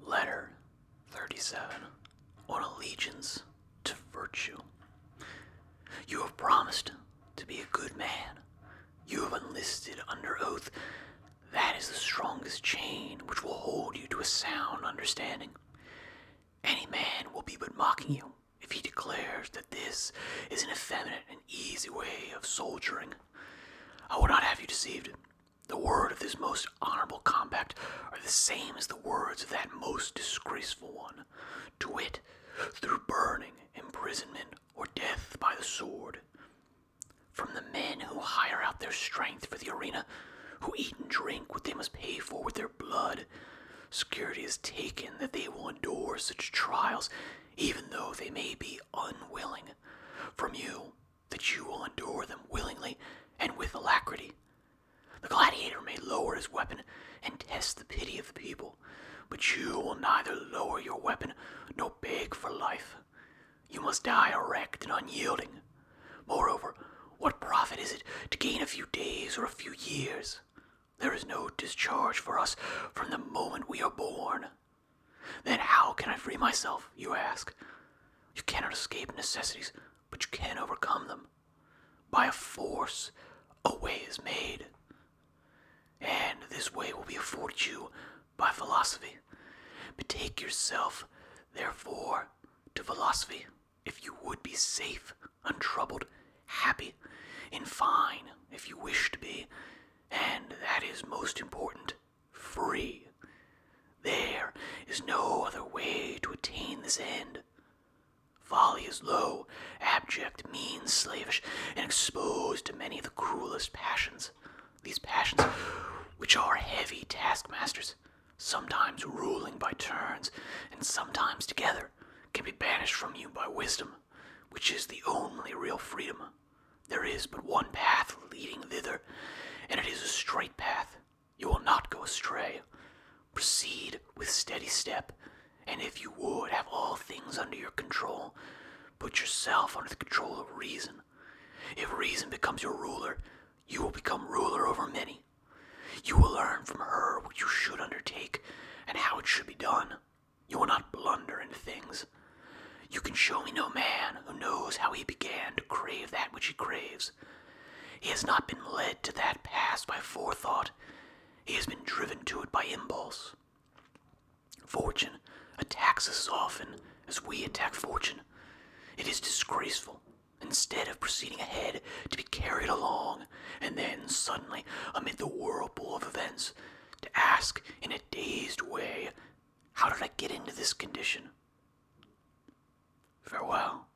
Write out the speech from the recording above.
Letter 37 On Allegiance to Virtue. You have promised to be a good man. You have enlisted under oath. That is the strongest chain which will hold you to a sound understanding. Any man will be but mocking you if he declares that this is an effeminate and easy way of soldiering. I will not have you deceived. The word of this most honorable compact are the same as the words of that most disgraceful one, to wit, through burning, imprisonment, or death by the sword. From the men who hire out their strength for the arena, who eat and drink what they must pay for with their blood, security is taken that they will endure such trials even though they may be unwilling. From you, that you will endure them willingly and with alacrity. The gladiator may lower his weapon and test the pity of the people, but you will neither lower your weapon nor beg for life. You must die erect and unyielding. Moreover, what profit is it to gain a few days or a few years? There is no discharge for us from the moment we are born. Then how can I free myself, you ask? You cannot escape necessities, but you can overcome them. By a force, a way is made. And this way will be afforded you by philosophy. Betake yourself, therefore, to philosophy if you would be safe, untroubled, happy, and fine if you wish to be, and that is most important, free. There is no other way to attain this end. Folly is low, abject, mean, slavish, and exposed to many of the cruelest passions. These passions, which are heavy taskmasters, sometimes ruling by turns and sometimes together, can be banished from you by wisdom, which is the only real freedom. There is but one path leading thither, and it is a straight path. You will not go astray. Proceed with steady step, and if you would have all things under your control, Put yourself under the control of reason. If reason becomes your ruler, you will become ruler over many. You will learn from her what you should undertake and how it should be done. You will not blunder in things. You can show me no man who knows how he began to crave that which he craves. He has not been led to that pass by forethought. He has been driven to it by impulse. Fortune attacks us often as we attack fortune. It is disgraceful, instead of proceeding ahead, to be carried along, and then suddenly, amid the whirlpool of events, to ask in a dazed way, How did I get into this condition? Farewell,